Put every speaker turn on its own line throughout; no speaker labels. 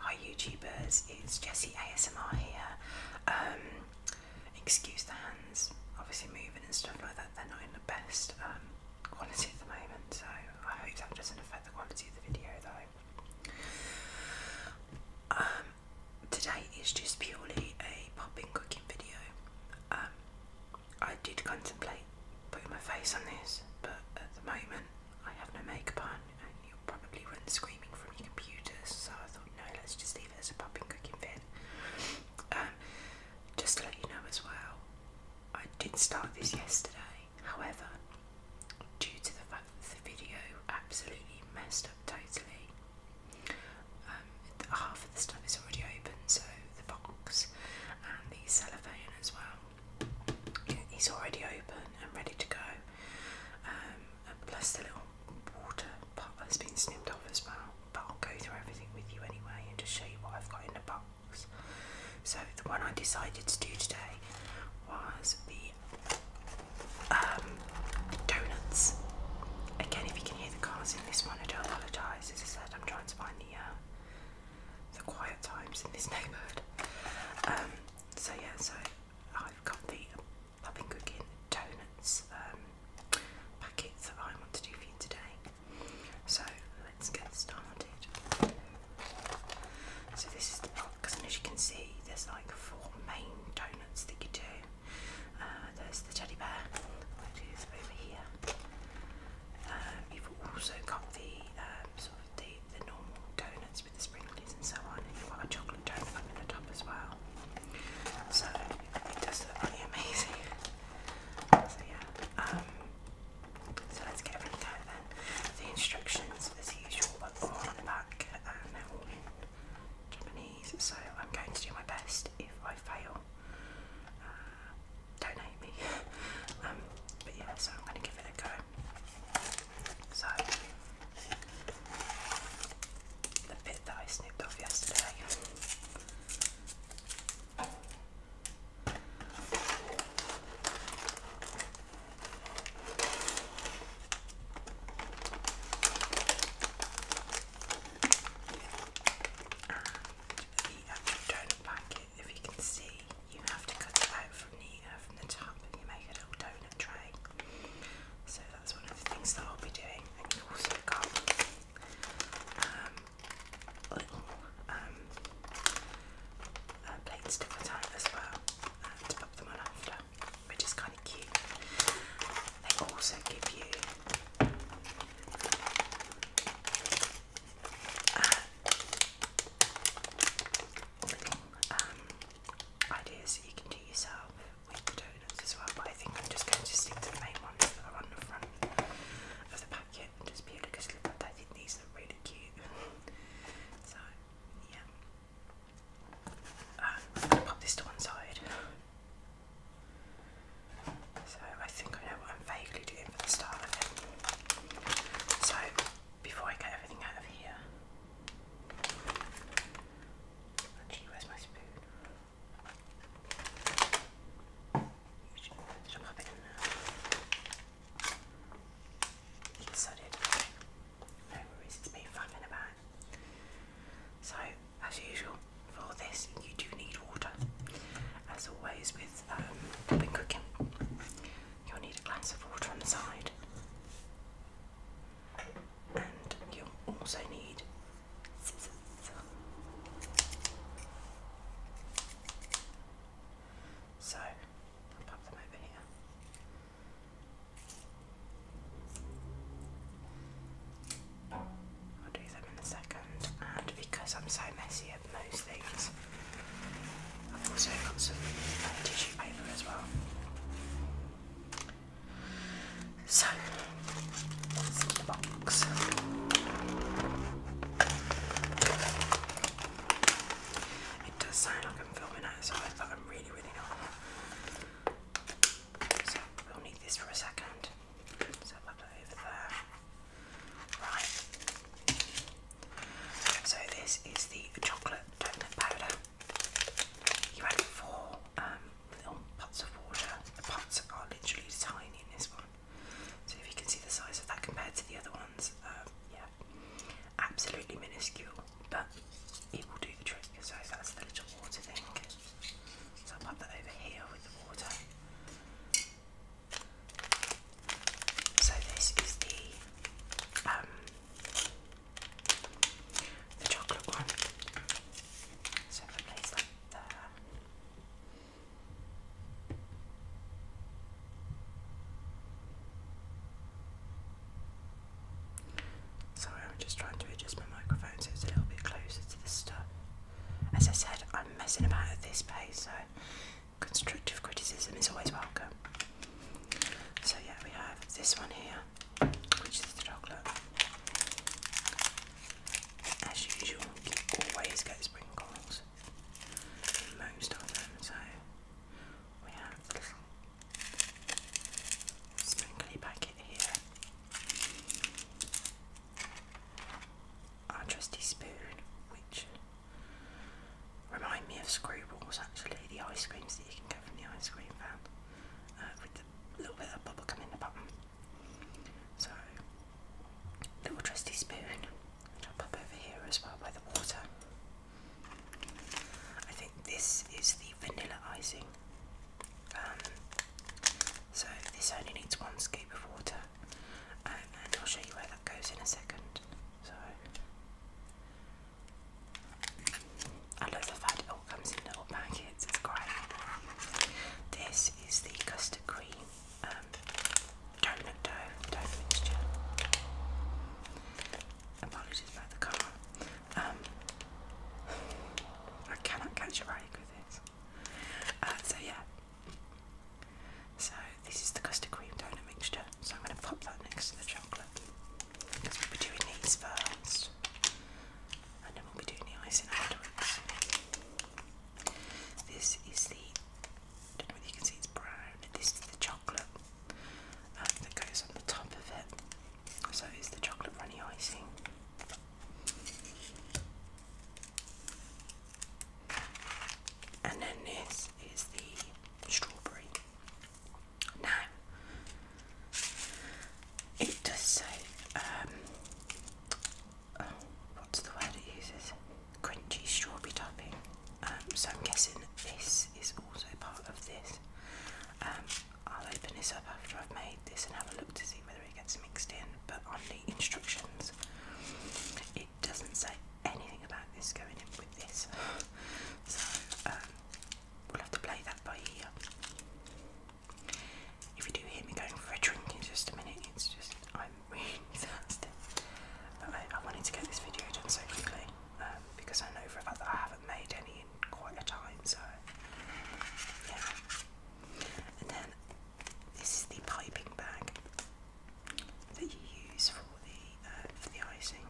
Hi YouTubers, it's Jessie ASMR here. Um, excuse the hands, obviously moving and stuff like that, they're not in the best um, quality at the moment, so I hope that doesn't affect the quality of the video though. Um, today is just purely a popping cooking video. Um, I did contemplate putting my face on this, but at the moment I have no makeup on and you'll probably run screaming from your computer, so I thought, no, let's just leave it as a popping cooking vid. Um, just to let you know as well, I did start this yesterday, however, due to the fact that the video absolutely messed up totally, um, half of the stuff is already open, so the box and the cellophane as well he's already open and ready to go. Um, plus the little water pot has been snipped off as well. But I'll go through everything with you anyway and just show you what I've got in the box. So the one I decided to do today was the um, donuts. Again, if you can hear the cars in this one, I do apologise. As I said, I'm trying to find the uh, the quiet times in this neighbourhood. Um, so yeah, so I've got the I've been cooking the donuts um, packets that I want to do for you today. So let's get started. So this is the box, and as you can see, there's like four main donuts that you do. Uh, there's the teddy bear, which is over here. Uh, you've also got the um, the, normal donuts with the sprinklers and so on, and you've got a chocolate donut up the top as well. So it does look really amazing. So yeah. Um, so let's get everything out then. The instructions, as usual, are all on the back and um, they're all in Japanese. So I'm going to do my best. If I fail, uh, me. Um, but yeah, so I'm going to give it a go. So, the bit that I snipped off yesterday. And the actual donut if you can see, you have to cut it out from the uh, from the top and you make a little donut tray. So that's one of the things that I'll be doing. And you also got um, little um, uh, plates to cut out as well uh, pop them on after, which is kind of cute. They also give you uh, um, ideas that you can do yourself with donuts as well, but I think I'm just going to stick to the main ones that are on the front of the packet just because I think these are really cute. so, yeah. Um, pop this to one side. So I think I know what I'm vaguely doing for the start of it. So before I get everything out of here. where's my spoon? Should I pop it No worries, it's been flapping So, as usual, for this, you do need water. As always, with with um, when cooking. You'll need a glass of water on the side, and you'll also need scissors. So i them over here. I'll do them in a second, and because I'm so messy get things. I've also got some uh, tissue paper as well. So, what's in the box? It does sound like I'm filming outside, but I'm really, really not. So, we'll need this for a second. So, I'll put that over there. Right. So this is the chocolate donut powder. You add four um, little pots of water. The pots are literally tiny in this one. So if you can see the size of that compared to the other ones, um, yeah, absolutely minuscule, but it will do the trick. So that's the little water thing. So I'll pop that over here with the water. So this is the um, the chocolate one. So if I there. Sorry, I'm just trying to adjust my microphone so it's a little bit closer to the stuff. As I said, I'm messing about at this pace, so constructive criticism is always welcome. So, yeah, we have this one here, which is the chocolate. As usual, always get sprinkles most of them, so we have the little sprinkly packet here. Our trusty spoon, which Remind me of Screwballs actually, the ice creams that you can get from the ice cream van uh, with a little bit of bubblegum in the bottom. So, little trusty spoon, which I'll pop over here as well by the water. I think this is the vanilla icing. Um, so this only needs one scoop of water, um, and I'll show you where that goes in a second. So I love the fact it all comes in little packets, it's great. This is the custard cream um, dough, dough mixture. Apologies about the car. Um, I cannot catch a break with this. Uh, so yeah, so this is the custard cream donut mixture. So I'm going to pop that next to the chocolate. Because we'll be doing these first, and then we'll be doing the icing afterwards. This is the. I don't know whether you can see it's brown. This is the chocolate um, that goes on the top of it. So it's the chocolate runny icing. And then this is the strawberry now, it does say, um, oh, what's the word it uses? Crunchy strawberry topping. Um, so I'm guessing this is also part of this. Um, I'll open this up after I've made this and have a look to see whether it gets mixed in. But on the instructions, it doesn't say anything about this going in with this. so um, we'll have to play that by ear. If you do hear me going for a drink in just a minute, it's just I'm really thirsty. But I, wanted to get this video done so quickly um, because I know for a fact that I haven't made any in quite a time. So yeah. And then this is the piping bag that you use for the uh, for the icing.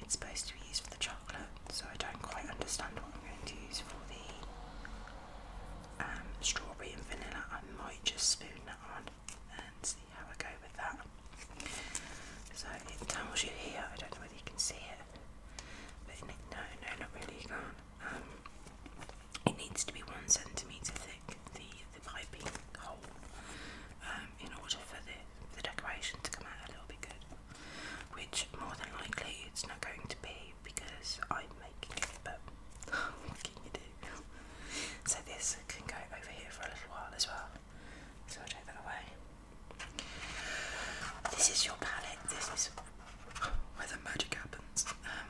It's supposed to be used for the chocolate, so I don't quite understand what I'm going to use for the um, strawberry and vanilla. I might just spoon that on and see how I go with that. So it tells you here. I don't know whether you can see it, but no, no, not really. You can't. Um, it needs to be one centimetre thick the, piping hole um, in order for the, the decoration to come out a little bit good. Which more than likely it's not going to be because I'm making it, but what can you do? so this can go over here for a little while as well. So I'll take that away. This is your palette. This is where the magic happens. Um,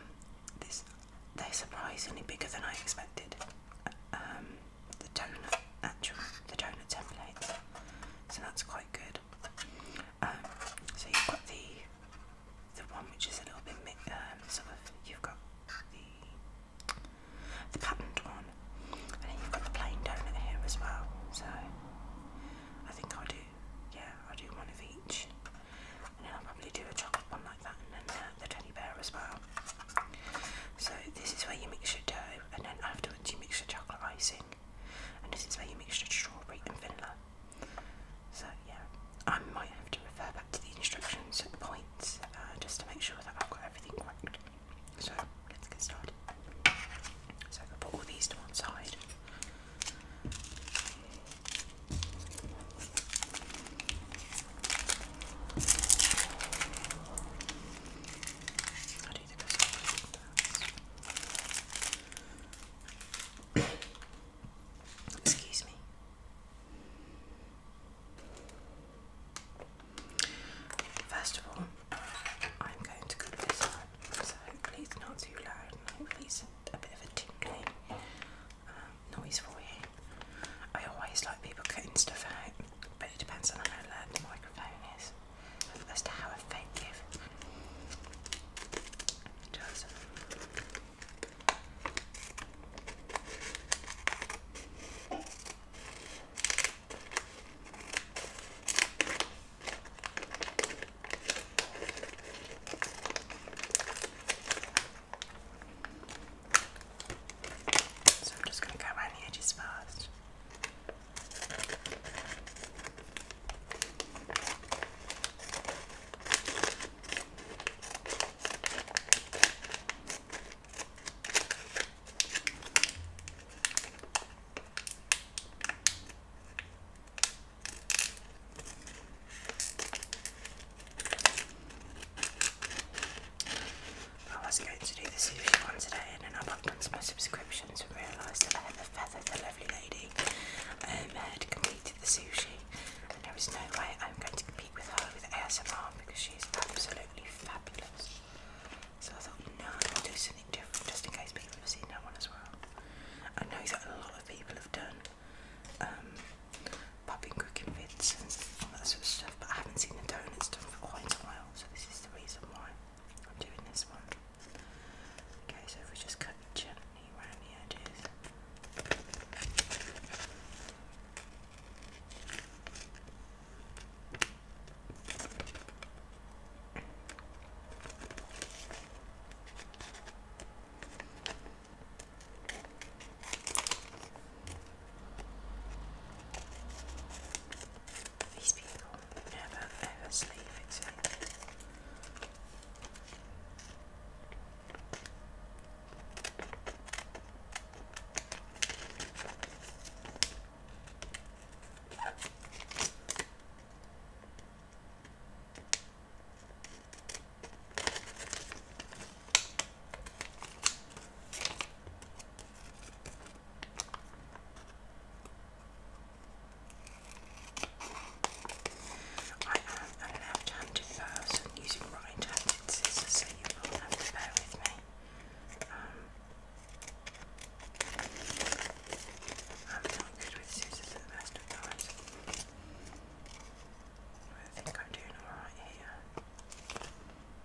this they're surprisingly bigger than I expected. Uh, um, the donut actual the donut templates. So that's quite good. Um, so you've got the the one which is a little bit um, sort of you've got the the patterned one, and then you've got the plain donut here as well. So I think I'll do yeah I'll do one of each, and then I'll probably do a chocolate one uh, the teddy bear as well. So this is where you mix your dough, and then afterwards you mix your chocolate icing, and this is where you mix your strawberry and vanilla. So yeah, I might have to refer back to the instructions at points uh, just to make sure that I've got everything correct. So let's get started. So I put all these to one side. Excuse me. First of all, I'm going to cut this up, so hopefully not too loud and a bit of a tingling um, noise for you. I always like people cutting stuff out, but it depends on how loud the microphone is as to how effective it does. So I'm just going to cut around the edges first. I was going to do the sushi one today and then I looked into my subscriptions and realised that the Feather, the lovely lady, um, had completed the sushi and there is no way I'm going to compete with her with ASMR because she is absolutely fabulous. So I thought, no, i am going to do something different just in case people have seen that one as well. I know that a lot of people have done um, popping cooking and all that sort of stuff, but I haven't seen the doughnuts done for quite a while, so this is the reason why I'm doing this one. Okay, so if we just cut gently around the edges. These people never ever sleep I am a left-handed person using right-handed scissors, so you will have to bear with me. Um, I'm not good with scissors at the best of times. I think I'm doing alright here.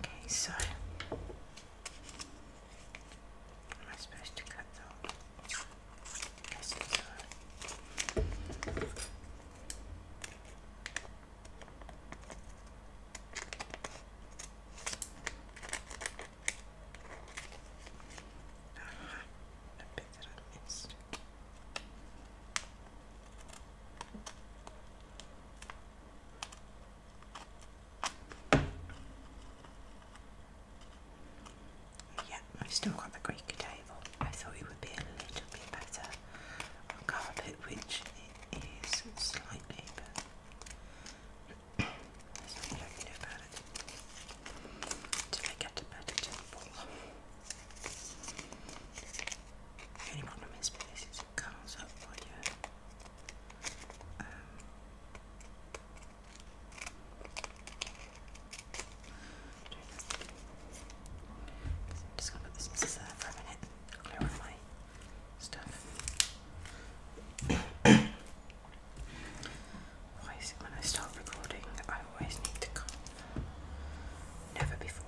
Okay, so am I supposed to cut that? Ah, a bit that I missed. Yeah, I've still got the Greek table. I thought it would be a little bit better on carpet, which it is slightly, but there's nothing I can about it until I get a better table. Anymore nome especies cães, olha. Um, I'm just gonna put this aside for a minute, when I start recording, I always need to cough. Never before.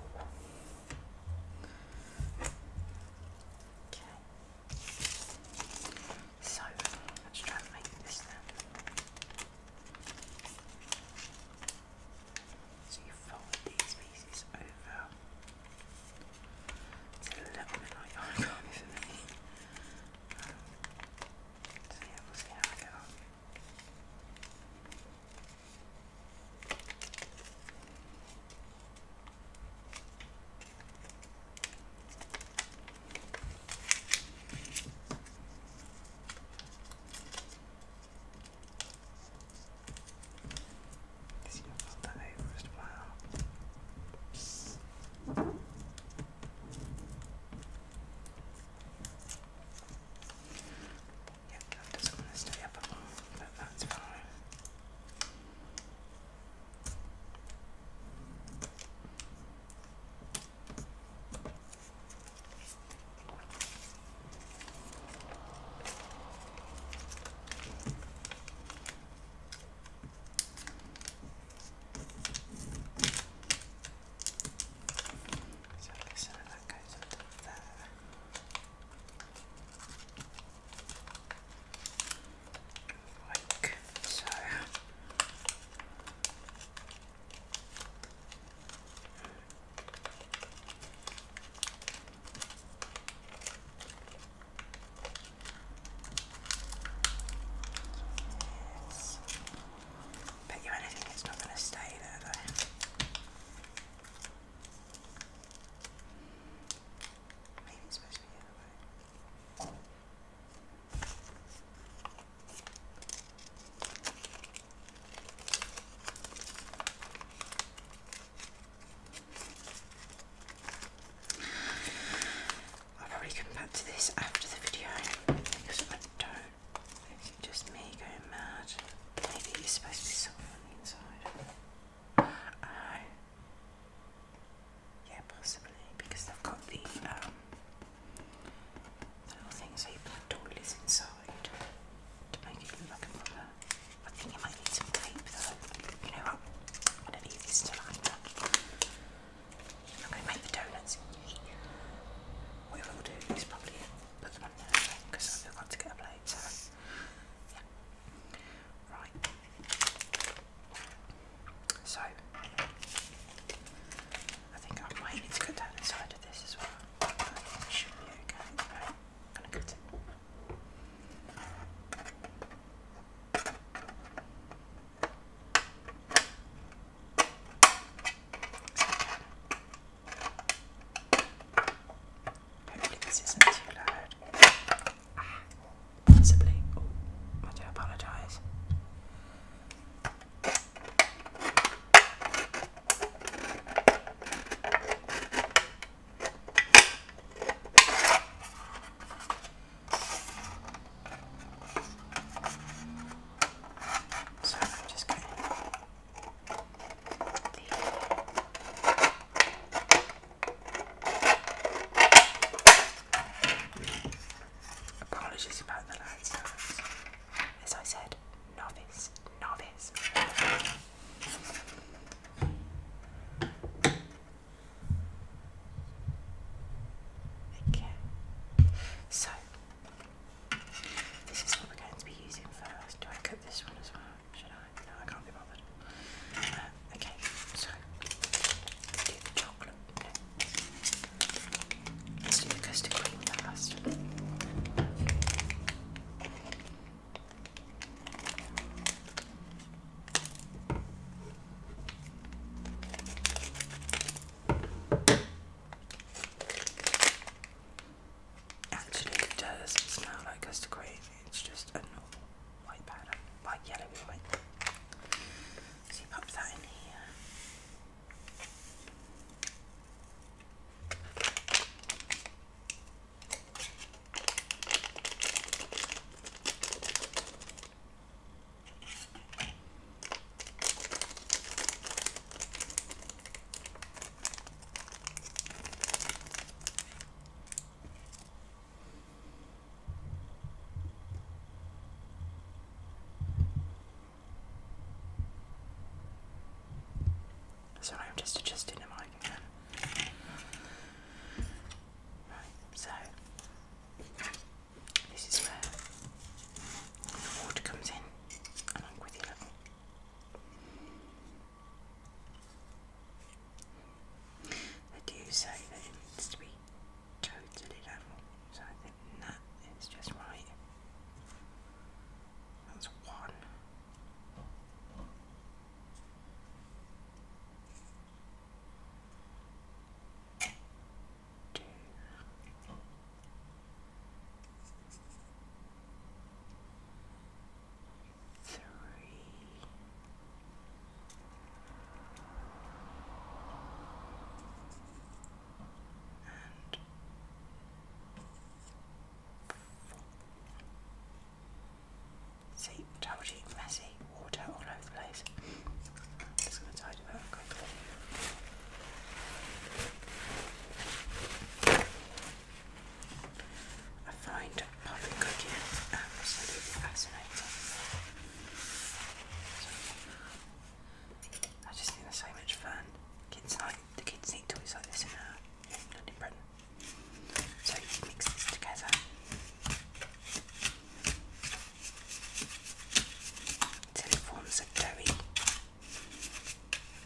Okay. So let's try and make this then. So you fold these pieces over. It's a little bit like origami for me. so yeah, we'll see how I get this you got the first file. Yeah, that doesn't want to stay up all, but that's fine. So listen, and that goes into there. Like so. Yes. Bet you anything it's not going to stay there though. Maybe it's supposed to probably come back to this after the video because I don't you just me going mad. Maybe he's supposed to be soft on the inside. Oh. yeah, possibly, because they've got the, um, little things so you toilets inside to make it look like a proper. I think you might need some tape though. You know what? I'm going to leave I'm going to make the donuts. What I will do is probably put them I right. So I think I might need to go down the side of this as well. should be okay. Right. gonna cut it. Hopefully this isn't too loud. possibly. Oh, I do apologise. So I'm just going Apologies about the loud As I said, novice, novice. Okay. So this is what we're going to be using first. Do I cut this one as well? Should I? No, I can't be bothered. Uh, okay, so chocolate. Let's do the custard cream first. Actually, it doesn't smell like custard cream, it's just a normal white powder, like yellow white. So you pop that in here. So I'm just adjusting the mic again. Right, so this is where the water comes in along with your little they do say that it needs to be totally level, so I think that is just right. That's one. Two three, and four. See, told you, messy, water all over the place. just going to tidy up quickly. I find puffin cooking absolutely fascinating. I just think so much fun. Kids like the kids need toys like this in uh, So you mix this together. Till it forms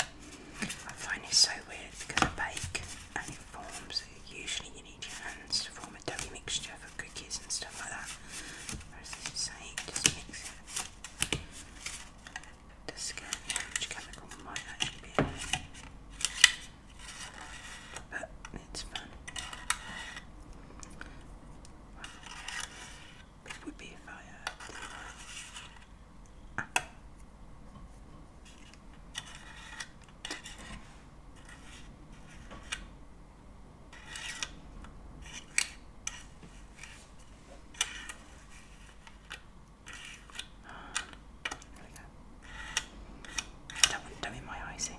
I find it so weird because I bake and it forms, usually you need your hands to form a doughy mixture for cookies and stuff like that. Whereas this is just mix it. To scan which chemical might actually be in there. But it's fun. But it would be if I uh, not have my icing.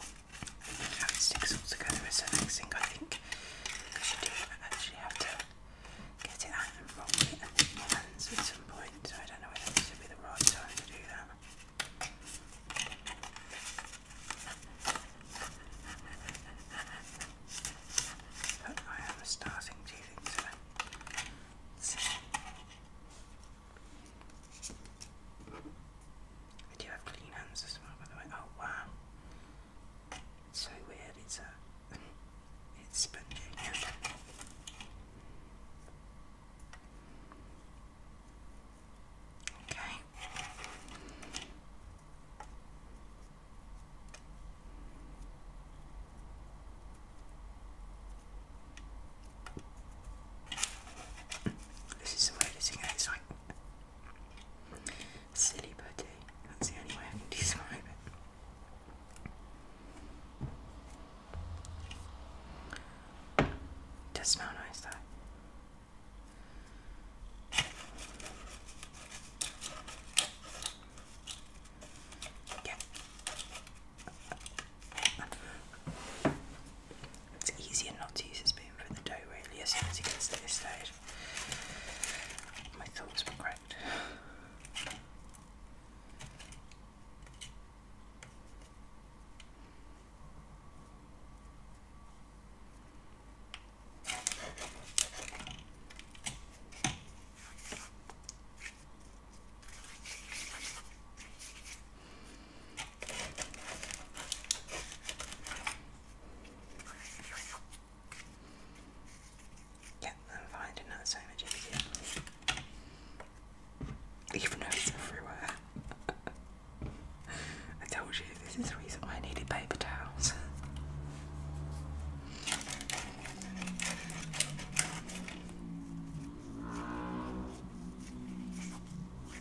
it sticks all together is the next thing I think because you actually have to get it out and roll it at some point I don't know whether this would be the right time to do that. But I am starting to think so. I do have clean hands as well, by the way. Oh wow, it's so weird. It's uh, a, it's spongy. Okay. This is the weirdest thing. Silly putty. That's the only way I can describe it. it does smell nice though. Yeah. It's easier not to use a spoon for the dough really as soon as it gets to this stage. My thoughts were correct. I'm finding that so much easier. Even everywhere. I told you this is the reason why I needed paper towels.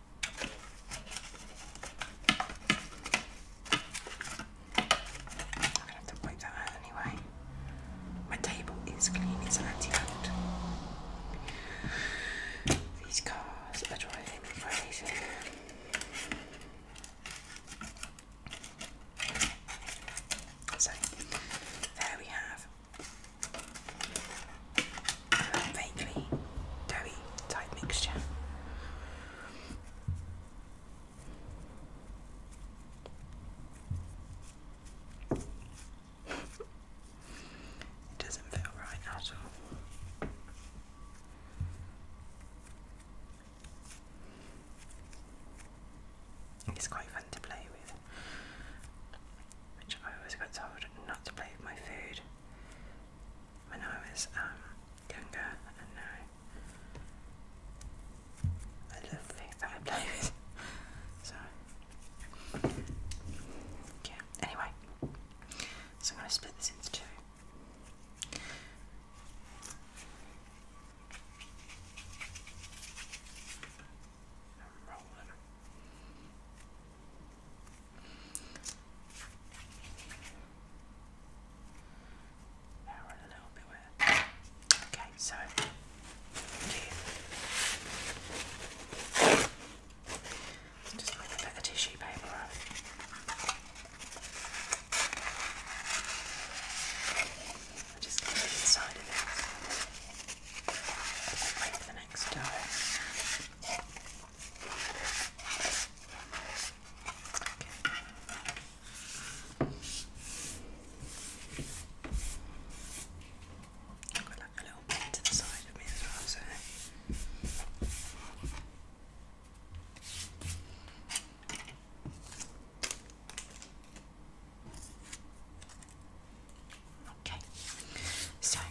I'm gonna have to point that out anyway. My table is clean, it's anti-old. These cars are driving me crazy. So there we have a vaguely doughy type mixture. It doesn't feel right at all. It's quite fun to play with, which I always got told not to play with my food when I was um, younger, and now I love things that I play with. So, yeah, anyway, so I'm going to split this into 2 Okay, so just make a tissue paper up. just get inside of it. Make the next dough. I've got like a little bit to of me as well, so. Okay, so chocolate.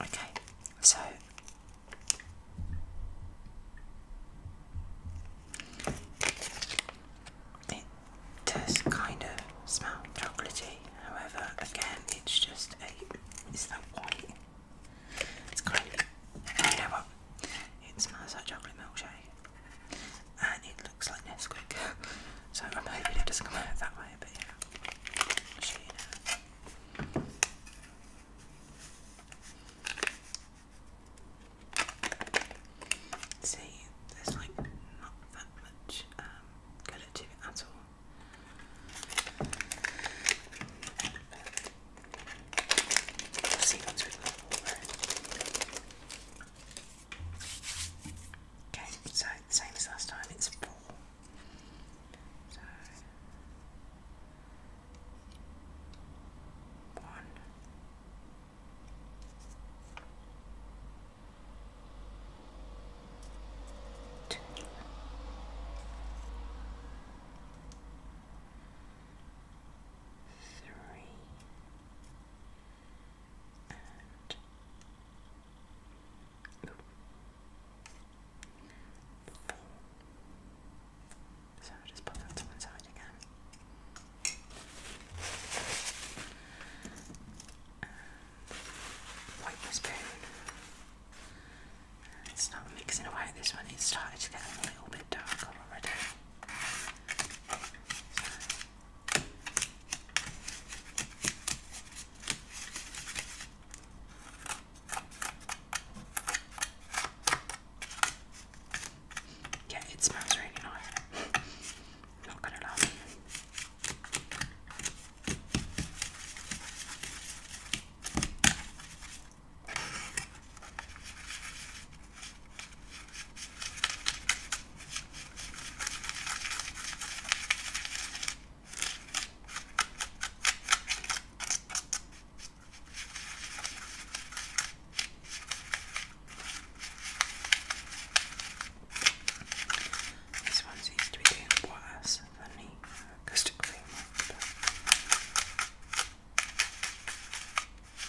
Okay, so it does kind of smell chocolatey, however, again, it's just a. Is that white? It's kind of. You know what? It smells like chocolate milkshake and it looks like Nesquik. so I'm hoping it doesn't come out that way, but yeah, See, there's like not that much um, colour to it at all. I've seen ones with Okay, so same as last time, it's four. So one. So just put that to one side again. wipe the spoon. It's not mixing away this one, it's starting to get a little bit dark already. Yeah, it smells really nice. Not gonna lie. This one seems to be doing worse than the custard cream one. But...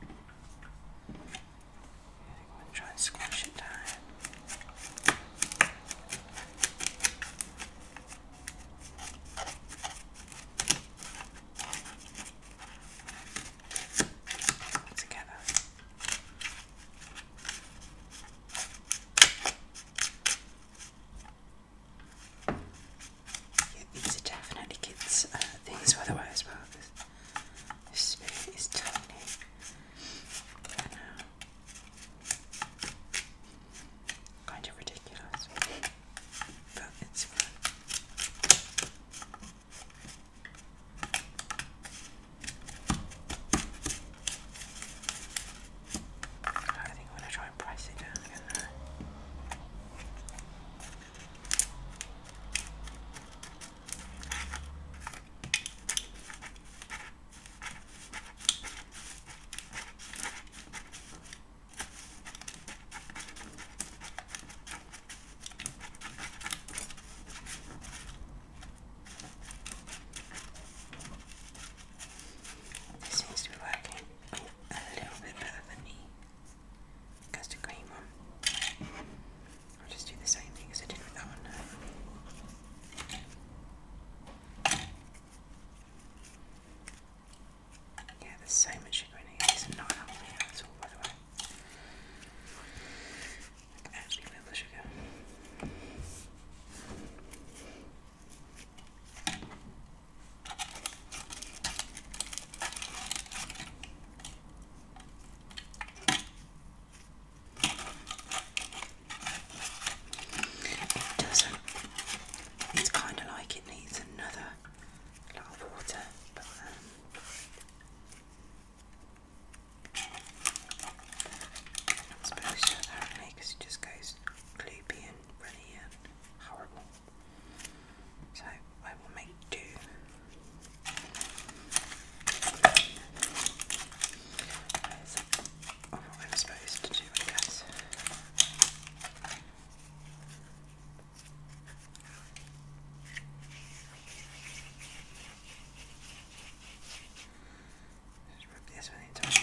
I'm going to try and squash it down. Together these are definitely kids' uh, things, by the spoon is tiny. Kind of ridiculous, but it's fun. I think I'm going to try and price it down it seems to be working a little bit better than me custard cream on. I'll just do the same thing as I did with that one now. Yeah, there's so much sugar It's not helping me at all, by the way. I actually feel the sugar. It doesn't. It's kind of like it needs another lot of water, but um, I suppose that because it just goes gloopy and runny and horrible. So I will make do. what I'm supposed to do, I guess. Just rub this one into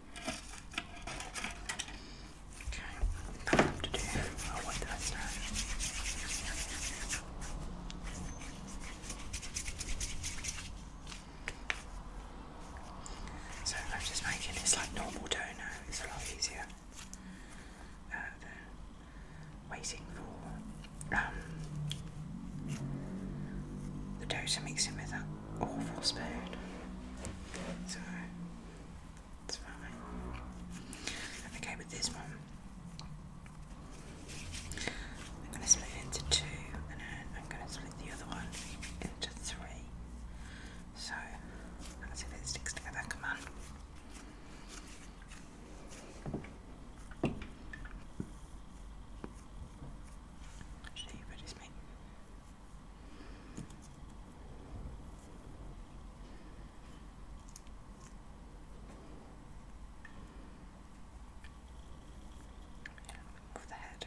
Okay, time to do. Oh, what did I So I'm just making this like normal dough It's a lot easier uh, waiting for um, the dough to with that awful spoon. So. It's fine. Okay, with this one, I'm going to split it into two, and then I'm going to split the other one into three. So let's see if it sticks together. Come on. Should you me? Move the head.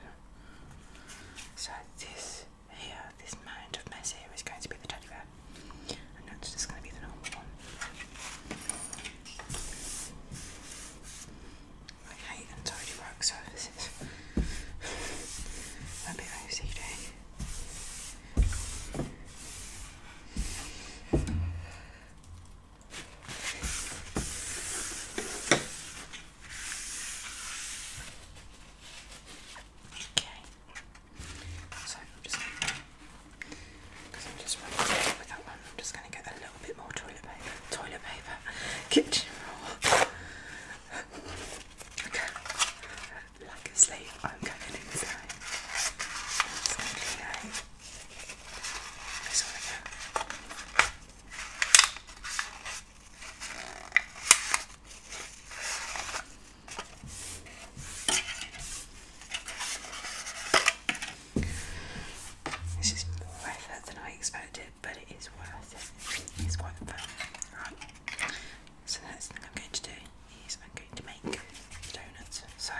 So this here, this mound of mess here is going to be the teddy bear. And that's just going to be the normal one. Okay, and so do rock services. Okay. So I'm just because I'm just running away with one, I'm just gonna get a little bit more toilet paper. Toilet paper. Kitchen roll. Lack of sleep, I'm going insane. It's going to be nice. This This is more effort than I expected but it is worth it. It's quite fun. Right. So the next thing I'm going to do is I'm going to make donuts. So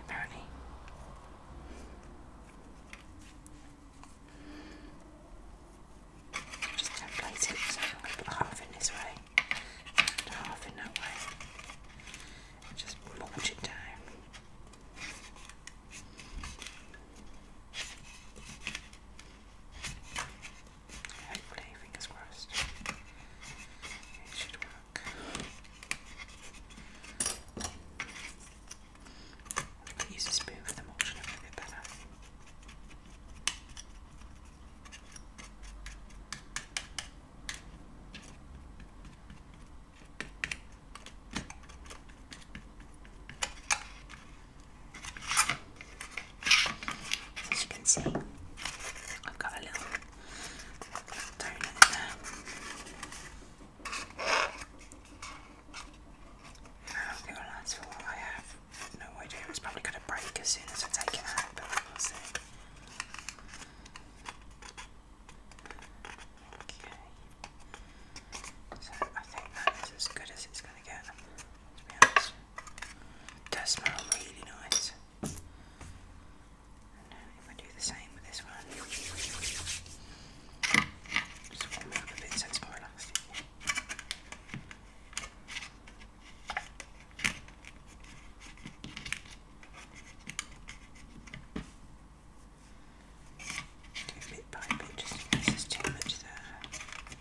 apparently just template it, so I'm going to put half in this way and half in that way. just mulch it down. Hopefully, fingers crossed, it should work. I could use a spoon for the mulch a bit better. As you can see, I've got a little donut there. How long it will last for, I have no idea. It's probably going to break as soon as I take it out, but we'll see. Okay. So I think that is as good as it's does smell really nice. And do the same with this one, just warm it up a bit so it's more elastic. Do bit bit just too much there.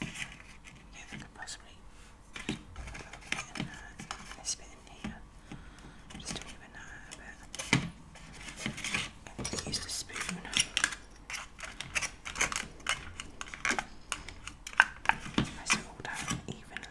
Yeah, they could possibly put in here. just don't even use the spoon. Press it all down evenly.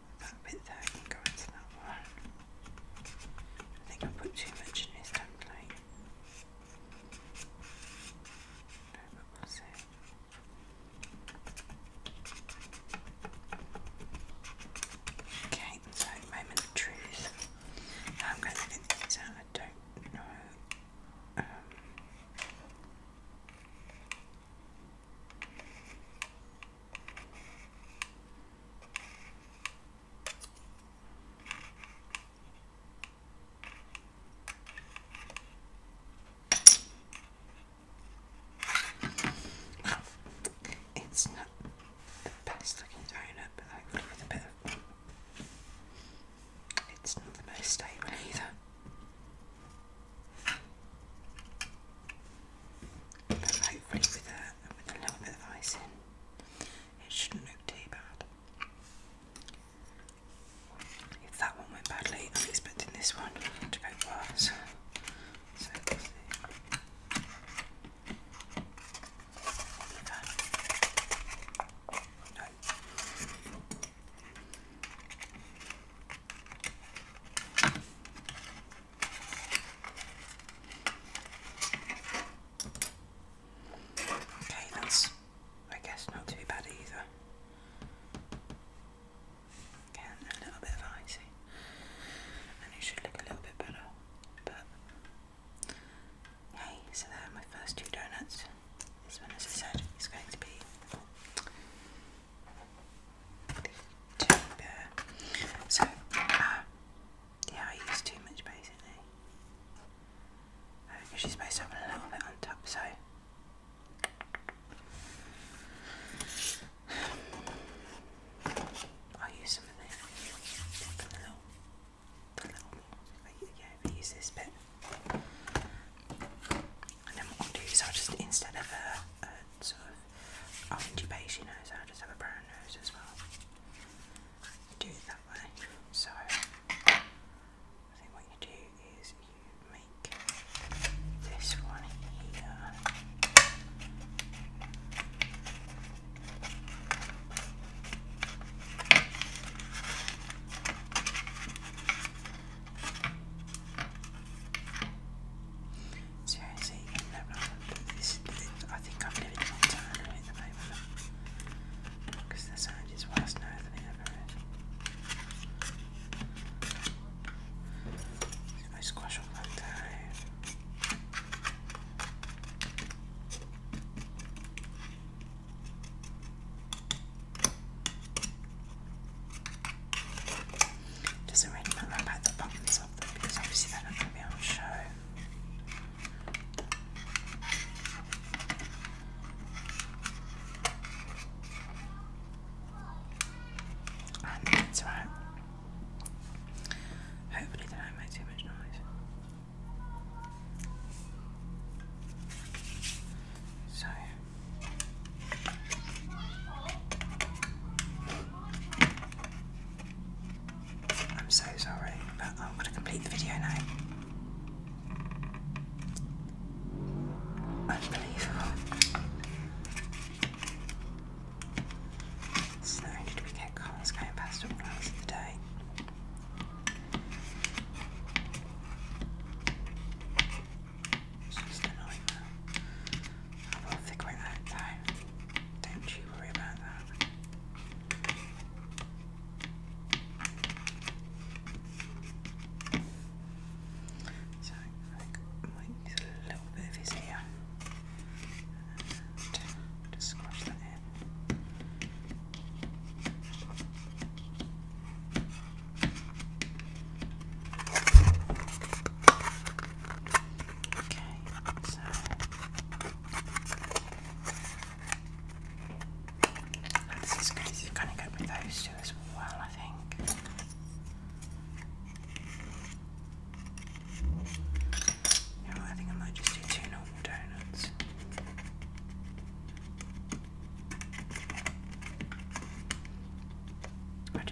That bit there can go into that one. I think I put too much in this template. No, but we'll see. Okay, so moment of truth. I'm going to get these out. I don't know. Um, it's not the best looking donut, but hopefully with a bit of. It's not the most stable either hopefully with a, little bit of icing, it shouldn't look too bad. If that one went badly, I'm expecting this one to go worse. Okay, that's, I guess, not too bad either. Again, a little bit of and it should look a little bit better. But hey, so there my first two donuts. This one, as I said, is going to be so, uh, yeah, I use too much basically. Because uh, she's based to a little bit on top, so. i use some of that. The little, the little, yeah, I use this bit and then what I'll do is I'll just instead of a, sort of orangey beigey nose, I'll just have a brown nose as well. Do it that way. So I think what you do is you make this one here. Seriously, I think I'm living on time at the moment because the sound is worse now than ever is. I squash all that down. Doesn't really matter about the buttons obviously they're not going to be on show. that's right. Hopefully, they don't too much noise. So. I'm so sorry, but I'm going to complete the video now. Unbelievable. So not we get cars going past all day, it's just annoying now. I will figure it out though. Don't you worry about that. So I think a little bit of his ear uh, just squash that in. Okay, so now this is good. go with those two as well, I think. Yeah, I think I might just do two normal donuts.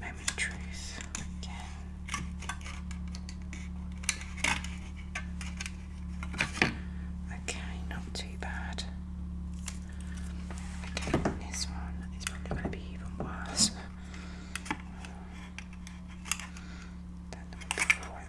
Moment of truth again. Okay, not too bad. Okay, this one is probably going to be even worse than the one before it,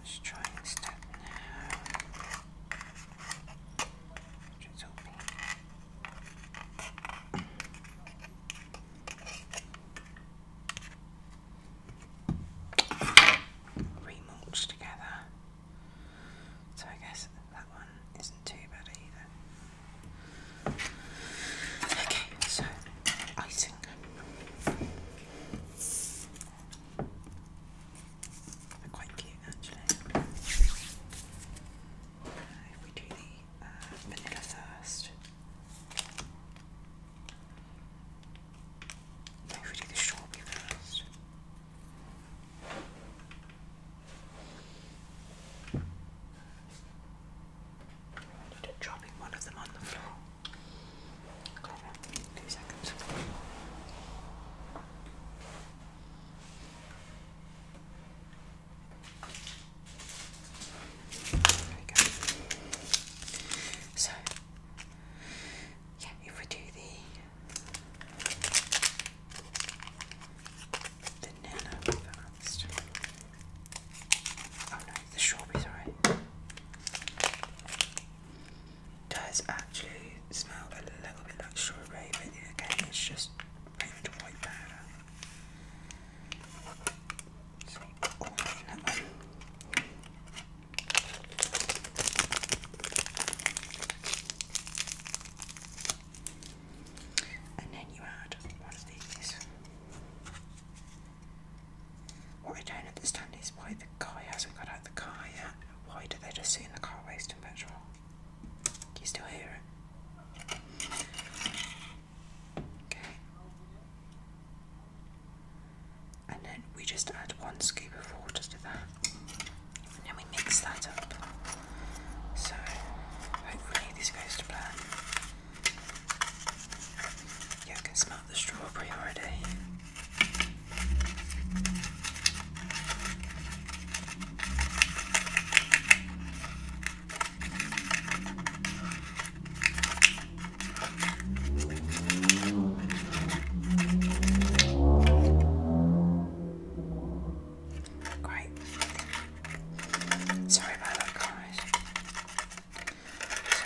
Let's try this step now. It's open remulch together. So I guess that one isn't too bad either. Okay, so icing. quite cute actually. Uh, if we do the uh, vanilla first. Maybe we do the 1st dropping one of them on the floor. Two seconds. So, yeah, if we do the the first. Oh no, the strawberries Does actually smell a little bit like strawberry, but again, it's just pretty white powder. So, oh, no. And then you add one of What I don't understand is why the guy hasn't got out the car yet. Why do they just sit in the car wasting petrol? Do you still hear it? Okay. And then we just add one scoop of water to that. And then we mix that up. So hopefully this goes to plan. Yeah, can smell the strawberry already. Great. Sorry about that, guys.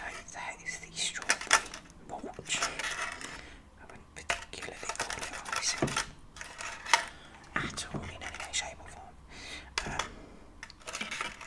So that is the strawberry mulch. I wouldn't particularly call it icing at all in any shape or form. Um,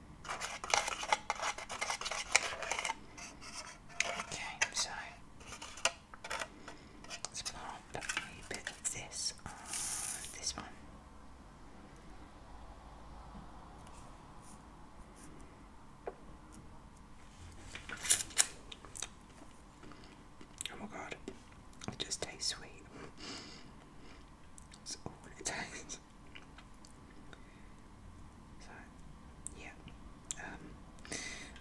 Okay, so let's plant a bit of this on this one. Oh my god, it just tastes sweet. That's all it So, yeah. Um,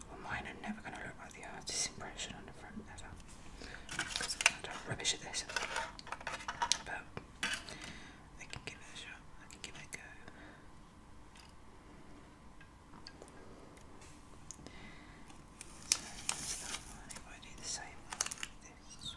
well, mine are never going to look like the artist's impression on the front ever. Because I've rubbish at this. But, I can give it a shot. I can give it a go. So, that's that one. If I do the same one with this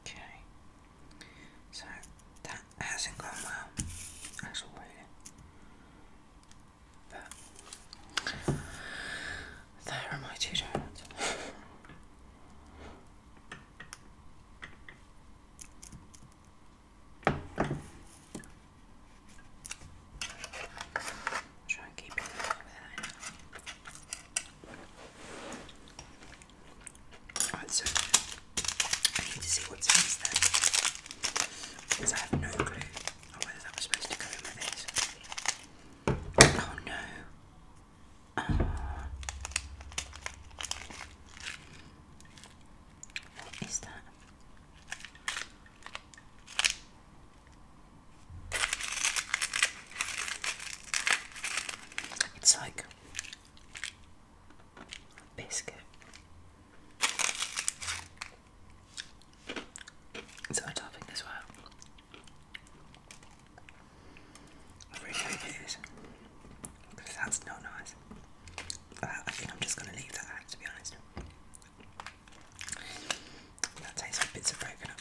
Okay, so that hasn't gone well as but there are my two donuts. Try and keep it there. Alright, so I need to see what's in there because I have no clue on whether that was supposed to go in with this. Oh no. Uh, what is that? It's like biscuit. Is a topping as well? I really that's not nice. I think I'm just going to leave that out to be honest. That tastes like bits of broken up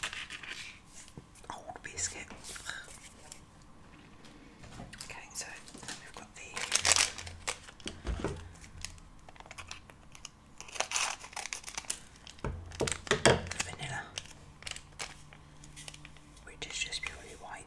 old biscuit. Okay, so we've got the vanilla, which is just purely white.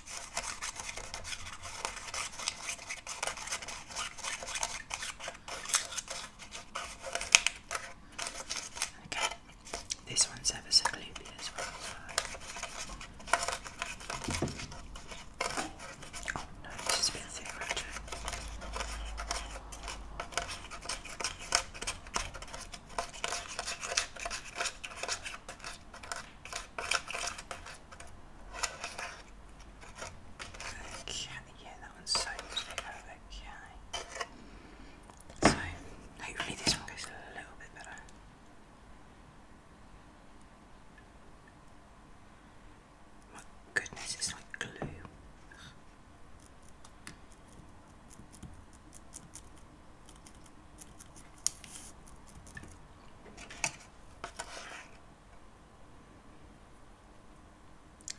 Okay, this one's ever so gloopy as well. Oh no, this is a bit thick, right? Okay, yeah, that one's so straight out. Okay. So, hopefully this one goes a little bit better. My goodness, it's like glue.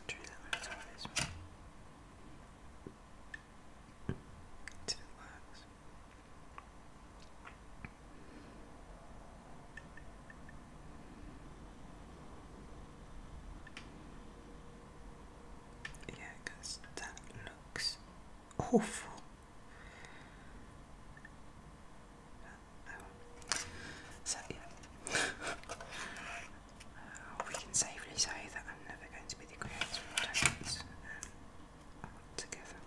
Try that one as always. It didn't work. that looks awful. So yeah, uh, we can safely say that I'm never going to be the creator of donuts um, and together.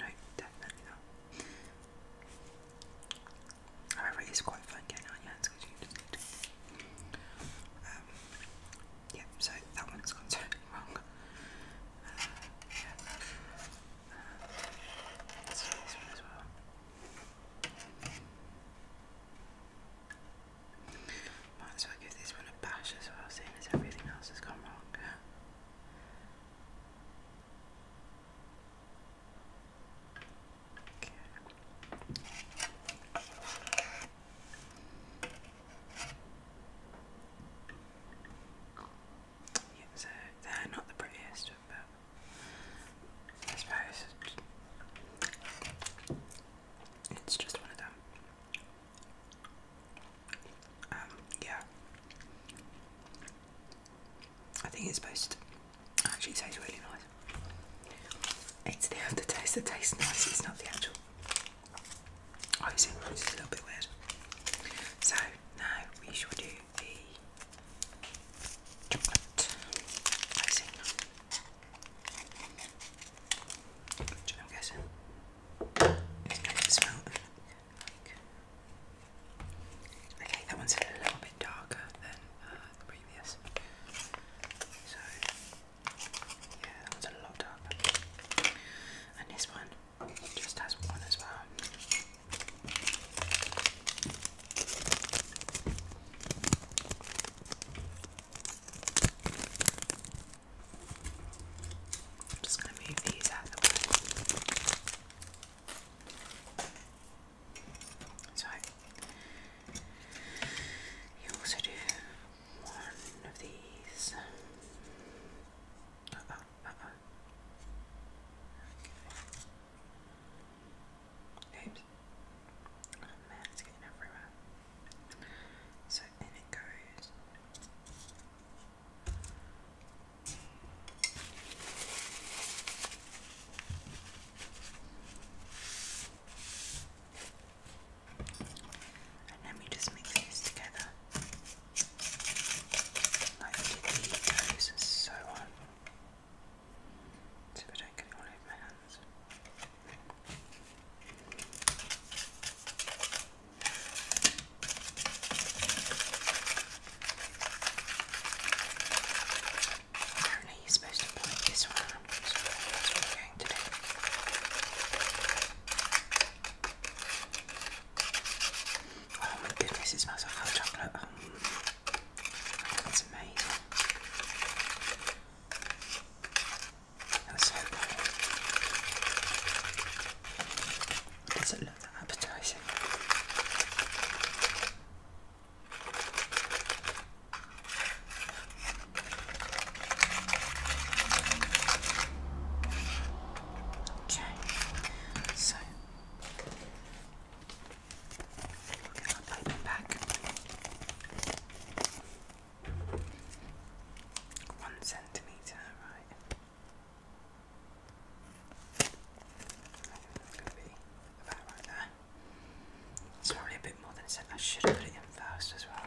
no, definitely not. However, it is quite fun getting on your hands because you just need to. Um, so that one's gone totally wrong as well. Might as well give this one a bash as well, seeing as everything else has gone wrong. Okay so they're not the prettiest, but I suppose it's just one of them. Um, yeah. I think it's supposed to actually taste really nice. It's the aftertaste that tastes nice, it's not the actual I you see, a little bit weird. So now we shall do the chocolate icing. Which guessing is going to Okay, that one's a little bit darker than uh, the previous. So, yeah, that one's a lot darker and this one just has one as well. I'm just going to move these out the way. So, you also do one of these. Uh oh, Oops. Oh man, it's getting everywhere. So in it goes. And let me just mix this together. Like did the toes so on. So I all over my hands. Apparently you're supposed to point this one around, Oh my goodness, it smells like hot chocolate. Oh. that's amazing. That's so good. Doesn't appetizing. Okay, so we'll get our back. One centimetre, right. I that's going to be about right there. It's probably a bit more than it said. I should have put it in first as well.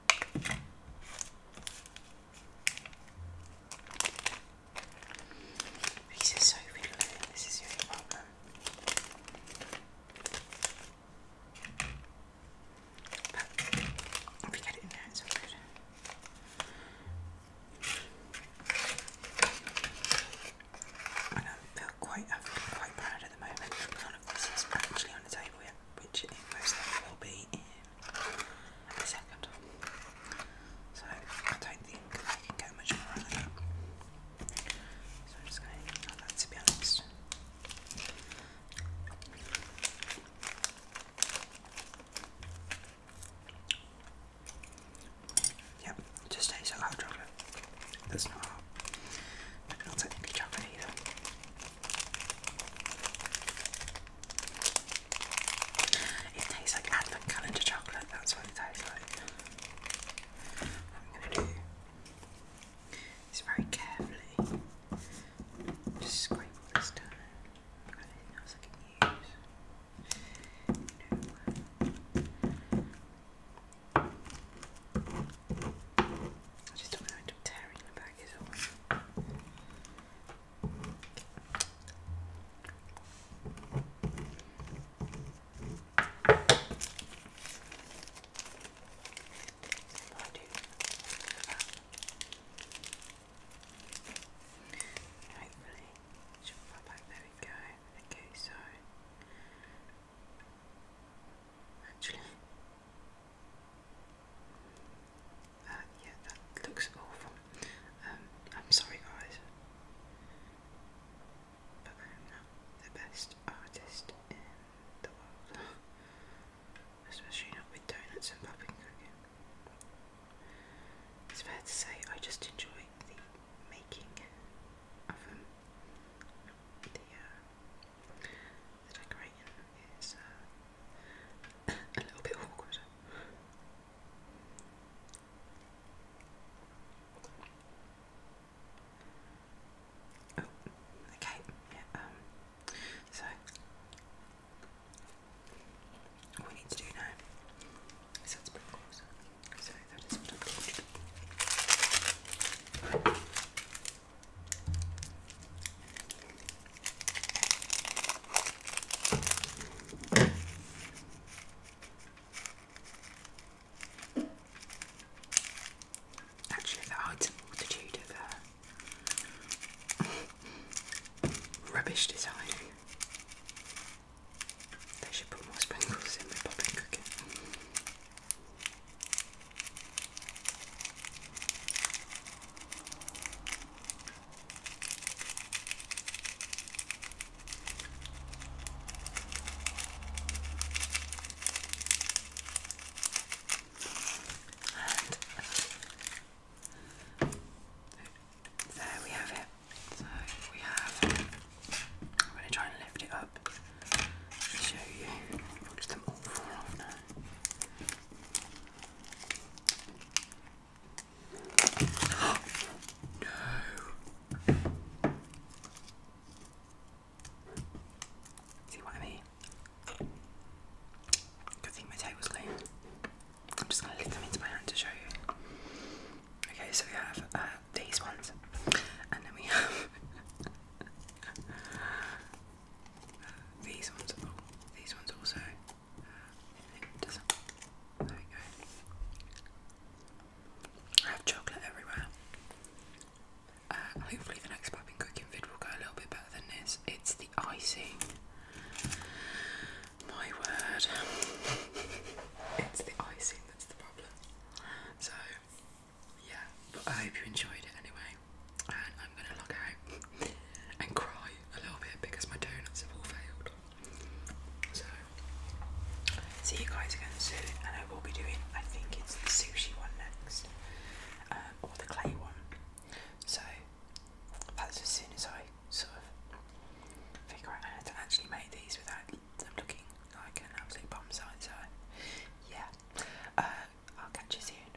These are so fiddly, this is your only if you get it in there, it's all good. I feel quite, feel quite proud at the moment. None of this is actually on the table yet, which it most likely will be a second. So I don't think I can get much more than that. So I'm just going to to be honest. Yep, just tastes like hot chocolate. That's not hot. But not technically chocolate either. It tastes like advent calendar chocolate, that's what it tastes like. I'm gonna do is very carefully just scrape all this down. i else I can use. I just don't want to end up tearing the bag is all. I do. Hopefully, she pop back. There we go. Okay, so actually, uh, yeah, that looks awful. Um, I'm sorry, guys. But I'm not the best artist in the world. Especially not with donuts and popping It's fair to say I just enjoy the making of them. Uh, the decorating is uh, a little bit awkward. Oh, okay, yeah, um, so what we need to do now so that is what I'm Actually, there are a multitude of uh, rubbish design. They should put more sprinkles in the popping cooking. And there we have it. So we have. I'm going to try and lift it up to show you. Because them all fall off now no. See what I mean? Good thing my table's clean. I'm just going to lift them into my hand to show you. Okay, so we have uh, these ones, and then we have these ones, oh, these ones also. There we go. I have chocolate everywhere. Uh, hopefully, the next popping cooking vid will go a little bit better than this. It's the icing. My word. it's the icing that's the problem. So, yeah, but I hope you enjoyed it anyway and I'm gonna log out and cry a little bit because my donuts have all failed. So, see you guys again soon, and I will be doing, I think it's the sushi one next, um, or the clay one. So, that's as soon as I sort of figure out how to actually make these without looking like an absolute bomb site. So, yeah, uh, I'll catch you soon.